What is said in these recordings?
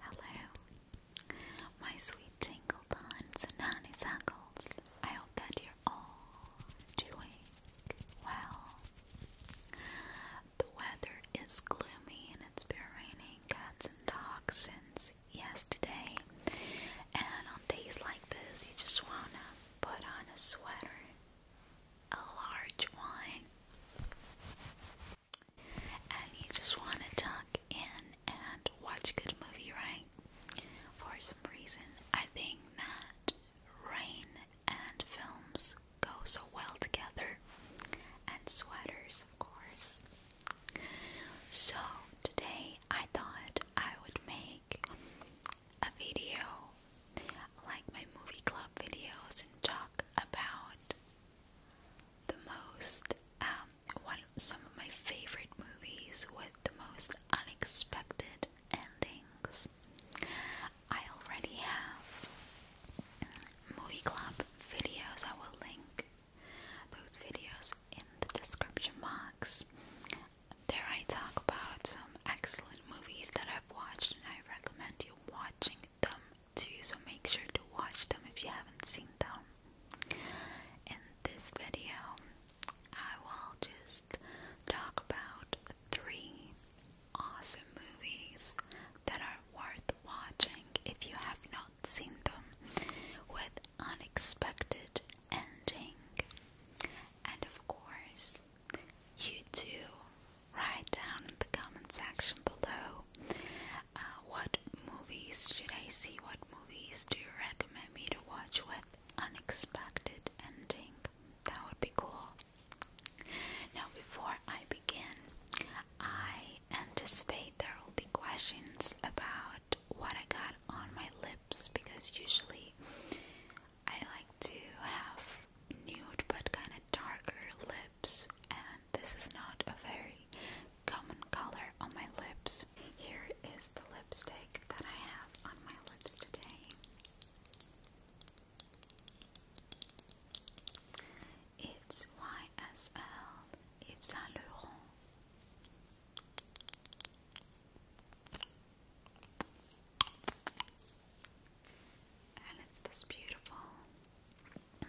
Hello, my sweet tingle buns and honeysuckles. I hope that you're all doing well. The weather is gloomy and it's been raining cats and dogs since yesterday. And on days like this, you just wanna put on a sweater, a large one and you just want to tuck in and watch a good movie, right? For some reason, I think that rain and films go so well together, and sweaters, of course. So, today I thought I would make a video like my movie club videos and talk about the most um, one some of my favorite movies with the most unexpected endings. I already have movie club videos. I will link those videos in the description box. There I talk about some excellent movies that I've watched and I recommend you watching them too, so make sure to watch them if you haven't seen them. In this video, I will just talk about three awesome movies that are worth watching if you have not seen them with unexpected ending. And of course, you too write down in the comment section below uh, what movies should I see, what movies do you recommend me to watch with unexpected ending. That would be cool. Now before I begin, I anticipate there will be questions about what I got on my lips because usually I like to have nude but kind of darker and this is not a very common color on my lips. Here is the lipstick that I have on my lips today. It's YSL Yves Saint Laurent and it's this beautiful um,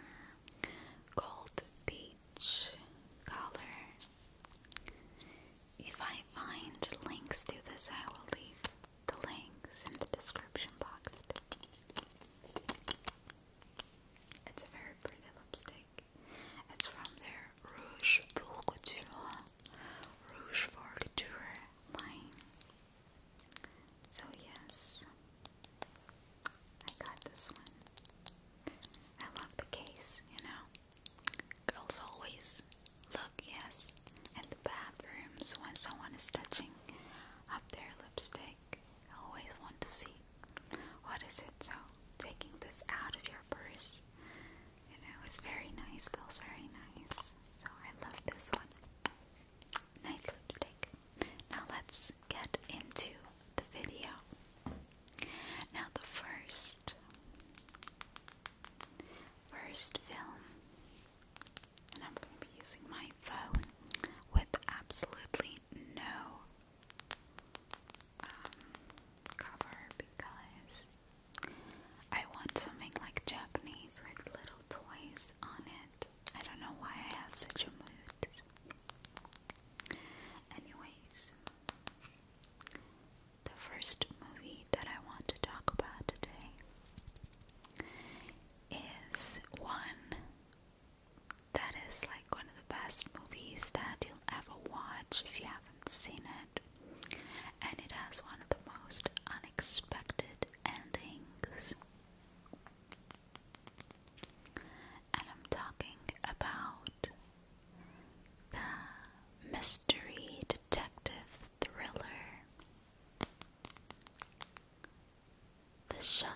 gold peach color. If I find links to this, I will leave the links in the description box. It's a very pretty lipstick. It's from their Rouge pour Rouge for line. So, yes, I got this one. I love the case, you know. Girls always look, yes, at the bathrooms when someone is touching up their lipstick. always want to see what is it. So, taking this out of your purse, you know, it's very nice, feels very nice. So, I love this one. Nice lipstick. Now let's get into the video. Now the first first film and I'm going to be using my phone with absolutely no um, cover because I want something like Japanese with little toys on it. I don't know why I have such a mood. Anyways, the first movie that I want to talk about today is one that is like one of the best movies that you'll ever watch if you haven't seen it. And it has one of the most unexpected endings. And I'm talking about the mystery detective thriller The Shutter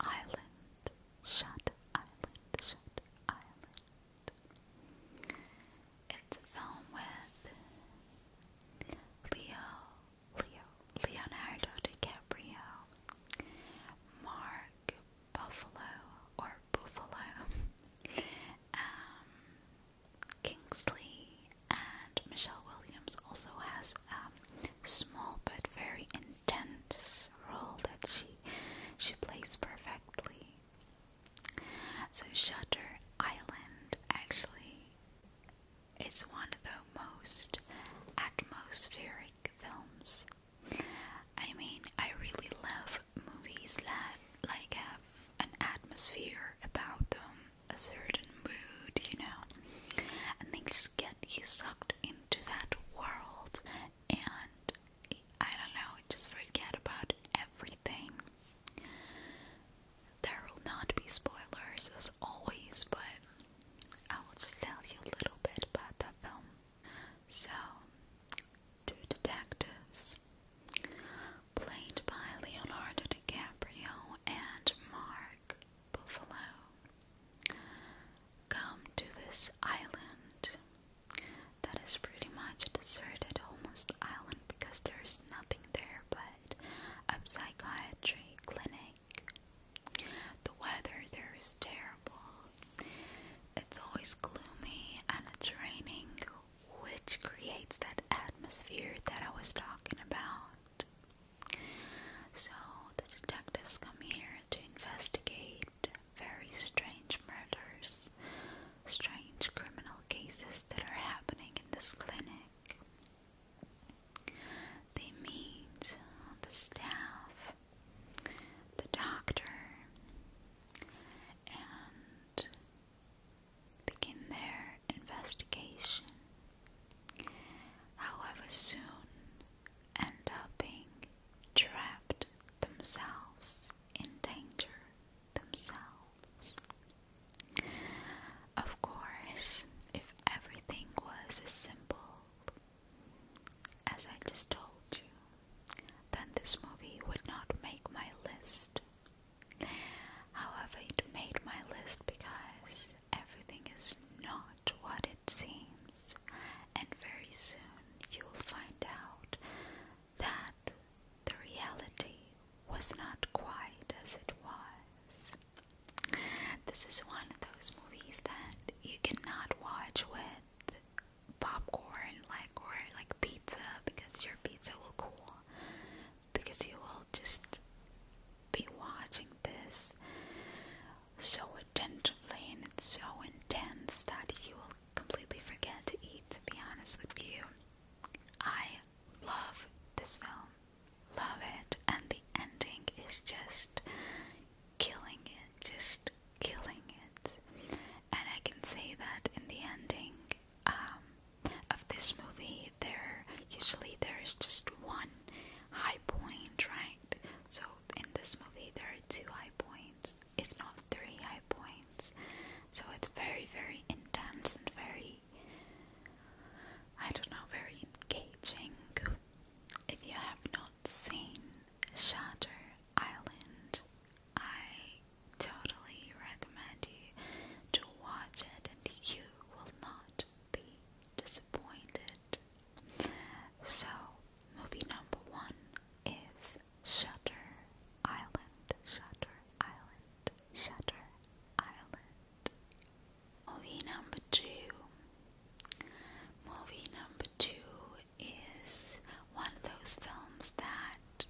Island. Shutter Island. Shutter Island. It's a film with Leo Leo, Leonardo DiCaprio, Mark Buffalo or Buffalo, um, Kingsley, and Michelle Williams also has a small but very intense role that she she plays perfectly. So Shutter Island actually it's one of the most atmospheric films. I mean, I really love movies that like have an atmosphere about them, a certain mood, you know, and they just get you sucked into that world, and I don't know, just forget about everything. There will not be spoilers as always, but I will just tell you a little bit about the film. So, two detectives, played by Leonardo DiCaprio and Mark Buffalo, come to this island that is pretty much deserted, almost island because there's nothing there but a psychiatry the weather there is terrible. It's always gloomy and it's raining, which creates that atmosphere that I was talking about. So the detectives come here to investigate very strange murders, strange criminal cases that are happening in this clinic. They meet the staff, the doctor, and begin their investigation. However, soon end up being trapped themselves in danger themselves. Of course, if everything was as simple as I just told you, then this movie would not make my list. However, it made my list because everything is not what it seems, and very soon you will find out that the reality was not quite as it was. This is one of those movies that you cannot watch with popcorn like or like pizza because your pizza will cool because you will just be watching this so attentively and it's so intense that you will completely forget to eat to be honest with you. I love this film love it, and the ending is just killing it, just killing it. And I can say that in the ending um, of this movie, there usually there is just one high point, right? So in this movie, there are two high points, if not three high points. So it's very, very intense and very I don't know, very engaging. If you have not seen Shutter Island, I totally recommend you to watch it and you will not be disappointed. So, movie number one is Shutter Island, Shutter Island, Shutter Island. Movie number two. Movie number two is one of those films that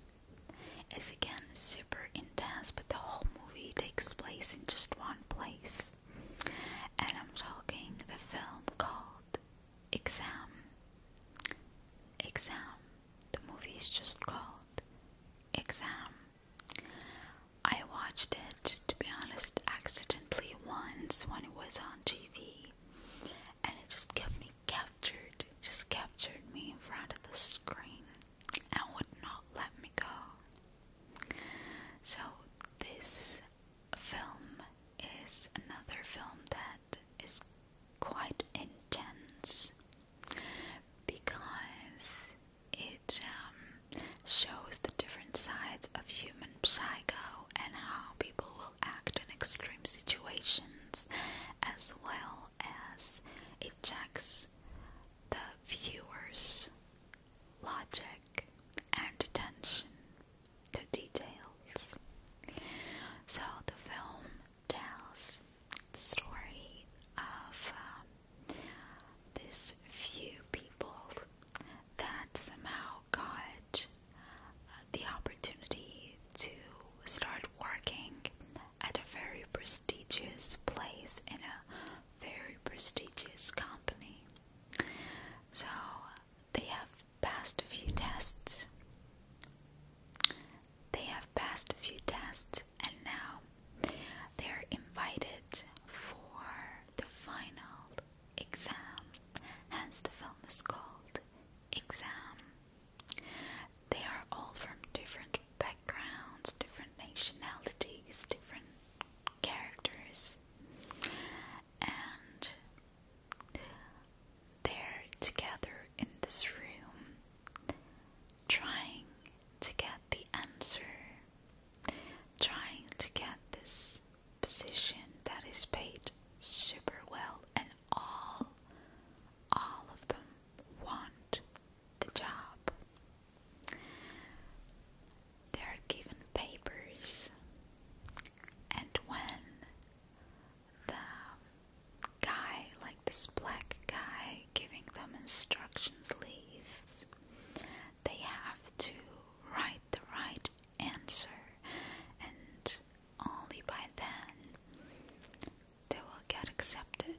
is again super intense, but the whole movie takes place in just one place. And I'm talking the film called Exam. Exam. The movie is just called Exam. I watched it, to be honest, accidentally once when it was on TV, and it just kept me captured, just captured me in front of the screen and would not let me go. So, this film is another film that is quite intense because it um, shows the different sides of human psycho and how people will act in extreme situations, as well as it checks the viewer's logic and attention to details. So the film tells the story of um, few people that somehow got uh, the opportunity to start working at a very prestigious place in a very prestigious company. So they have passed a few tests. They have passed a few tests and now they're invited for the final exam, hence, the film is called Exam. They are all from different backgrounds, different nationalities, different characters, and they're together in this room trying to get the answer, trying to get this position that is paid super well, and all all of them want the job. They are given papers, and when the guy, like this black guy, giving them instructions leaves. They have to write the right answer, and only by then they will get accepted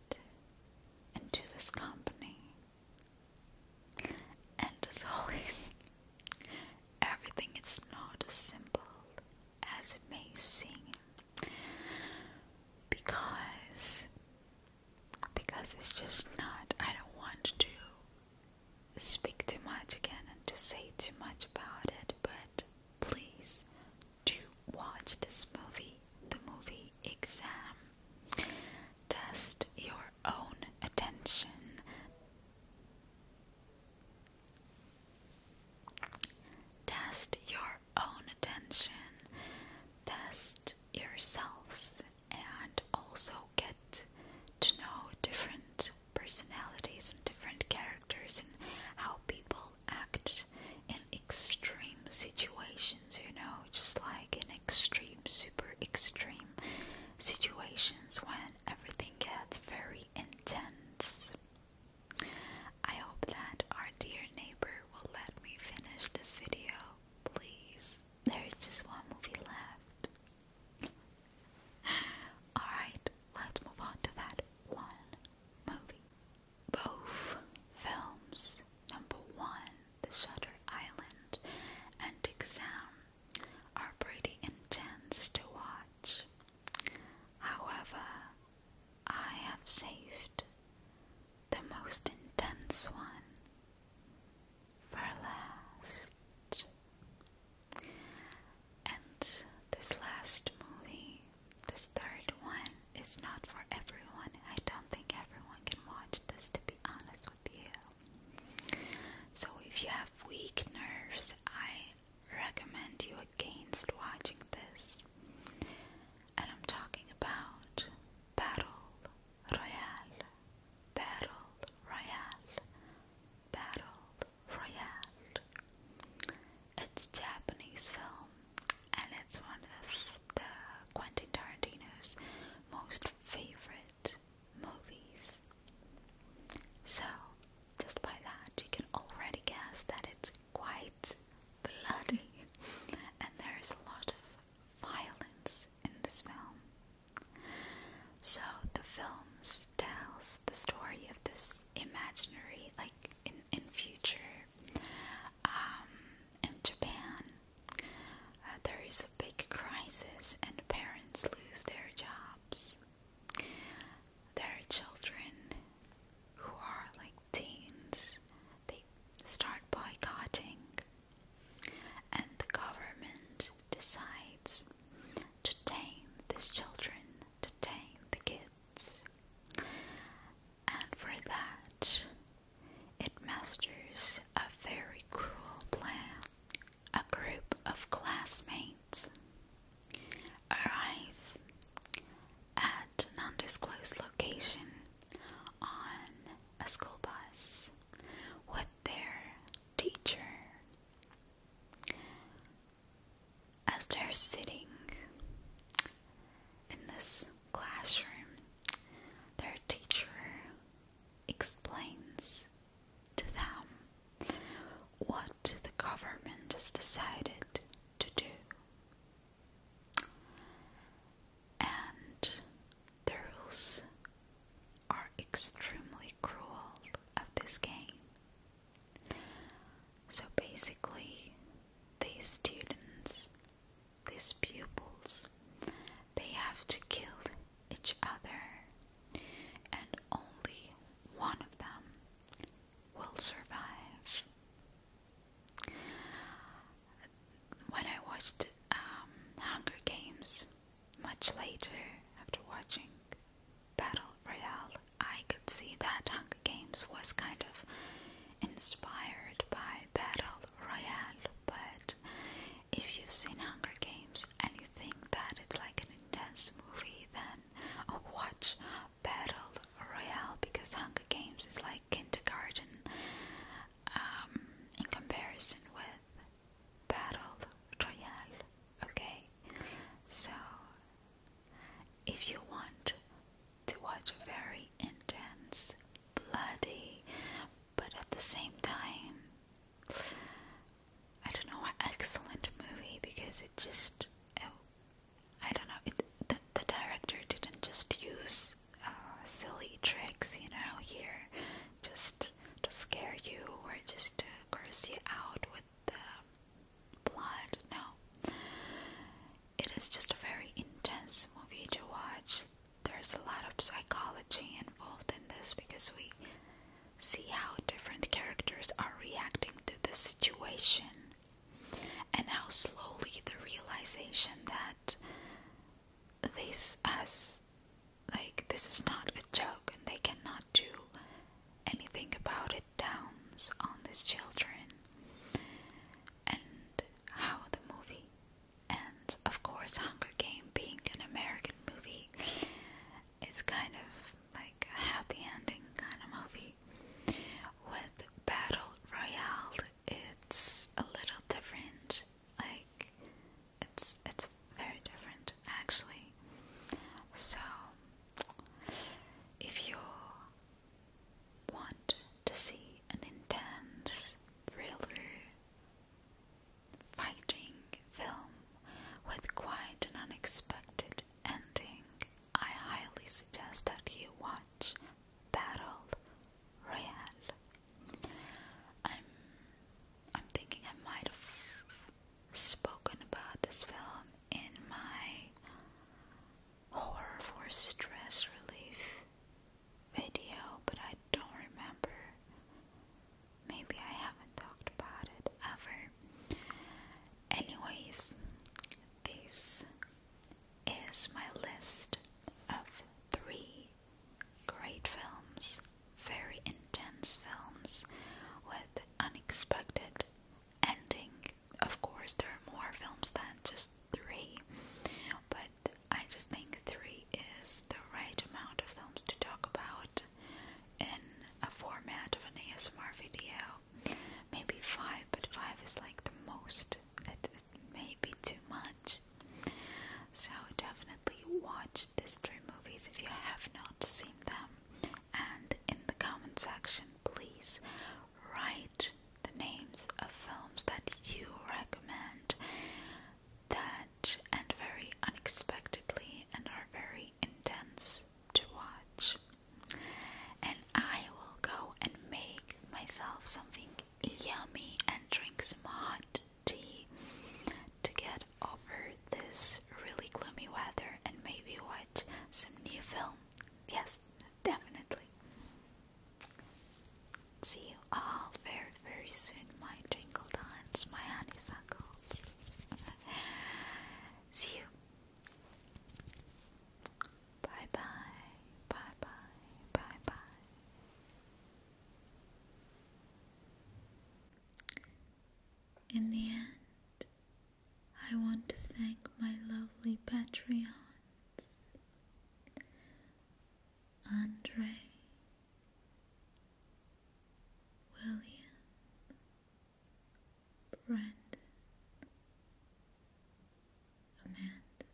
into this company. And as always, everything is not as simple as it may seem because because it's just not, I don't want to speak too much again and to say too much about it, but please do watch this movie, the movie Exam. Test your own attention. Test your own attention, test yourselves, and also get to know different personalities and different characters and how people act in extreme situations, you know, just like in extreme, super extreme situations when everything gets very intense. I hope that our dear neighbor will let me finish this video, please. There's just one movie left. Alright, let's move on to that one movie. Both films, number one, The Shutter Island and Exam, are pretty intense to watch. However, I have saved the most intense one for last. And this last movie, this third one, is not for everyone. I don't think everyone can watch this, to be honest with you. So, if you have weak nerves, I recommend you against watching this and I'm talking about Battle Royale, Battle Royale, Battle Royale. It's a Japanese film and it's one of the Quentin Tarantino's most favorite movies. So, just by that, you can already guess that it's quite bloody, and there is a lot of violence in this film. So the film tells the story of this imaginary, like in in future, um, in Japan, uh, there is a big crisis, and parents lose their jobs. There are children who are like teens they start boycotting and the government decides to tame these children, to tame the kids. And for that it masters a very cruel plan. A group of classmates arrive at an undisclosed location on a school bus with their teacher. As they're sitting in this classroom, their teacher explains to them what the government has decided to do. And the rules are extremely cruel of this game. So basically, these students, these pupils, they have to kill each other, and only one of them will survive. When I watched um, Hunger Games much later, after watching Battle Royale, I could see that Hunger Games was kind of inspired by Battle Royale. But if you've seen Hunger Games and you think that it's like an intense movie, then oh, watch battle royale because Hunger Games is like kindergarten um, in comparison with battle royale. Okay, so if you want to watch a very intense, bloody, but at the same time, I don't know, excellent movie because it just I don't know. the, the director didn't just use uh, silly tricks, you know, here, just to scare you or just to curse you out with the blood. No, it is just a very intense movie to watch. There's a lot of psychology involved in this because we see how different characters are reacting to the situation and how slowly the realization that this as like this is not a joke and they cannot do anything about it downs on these children and how the movie and of course Hunger Game being an American movie is kind of like a happy ending kind of movie with Battle Royale, it's a little different. Like it's it's very different actually. So if you want to see an intense thriller fighting film with quite an unexpected ending, I highly suggest that you watch watch Battle Royale. I'm I'm thinking I might have spoken about this film in my horror for stress relief video, but I don't remember. Maybe I haven't talked about it ever. Anyways, this is my list of three great films, very intense films with unexpected ending. Of course, there are more films than just three, but I just think three is the right amount of films to talk about in a format of an ASMR video maybe five, but five is like the most. It, may be too much. So definitely watch these three movies if you have not seen them. And in the comment section, please write the names of films that you recommend that and very unexpectedly and are very intense to watch and I will go and make myself something yummy and drink some hot tea to get over this really gloomy weather and maybe watch some new film. Yes, definitely. See you all very, very soon, my twinkle dance, my honeysuckles. See you. Bye bye, bye bye, bye bye. In the end, I want to thank my lovely Patreons Andre, William, Brandon, Amanda,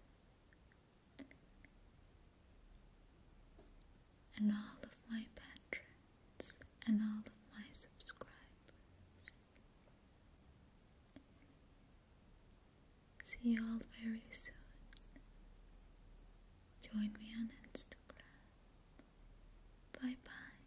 and all of my patrons and all of my subscribers. See you all very soon. Join me on Instagram. Bye bye.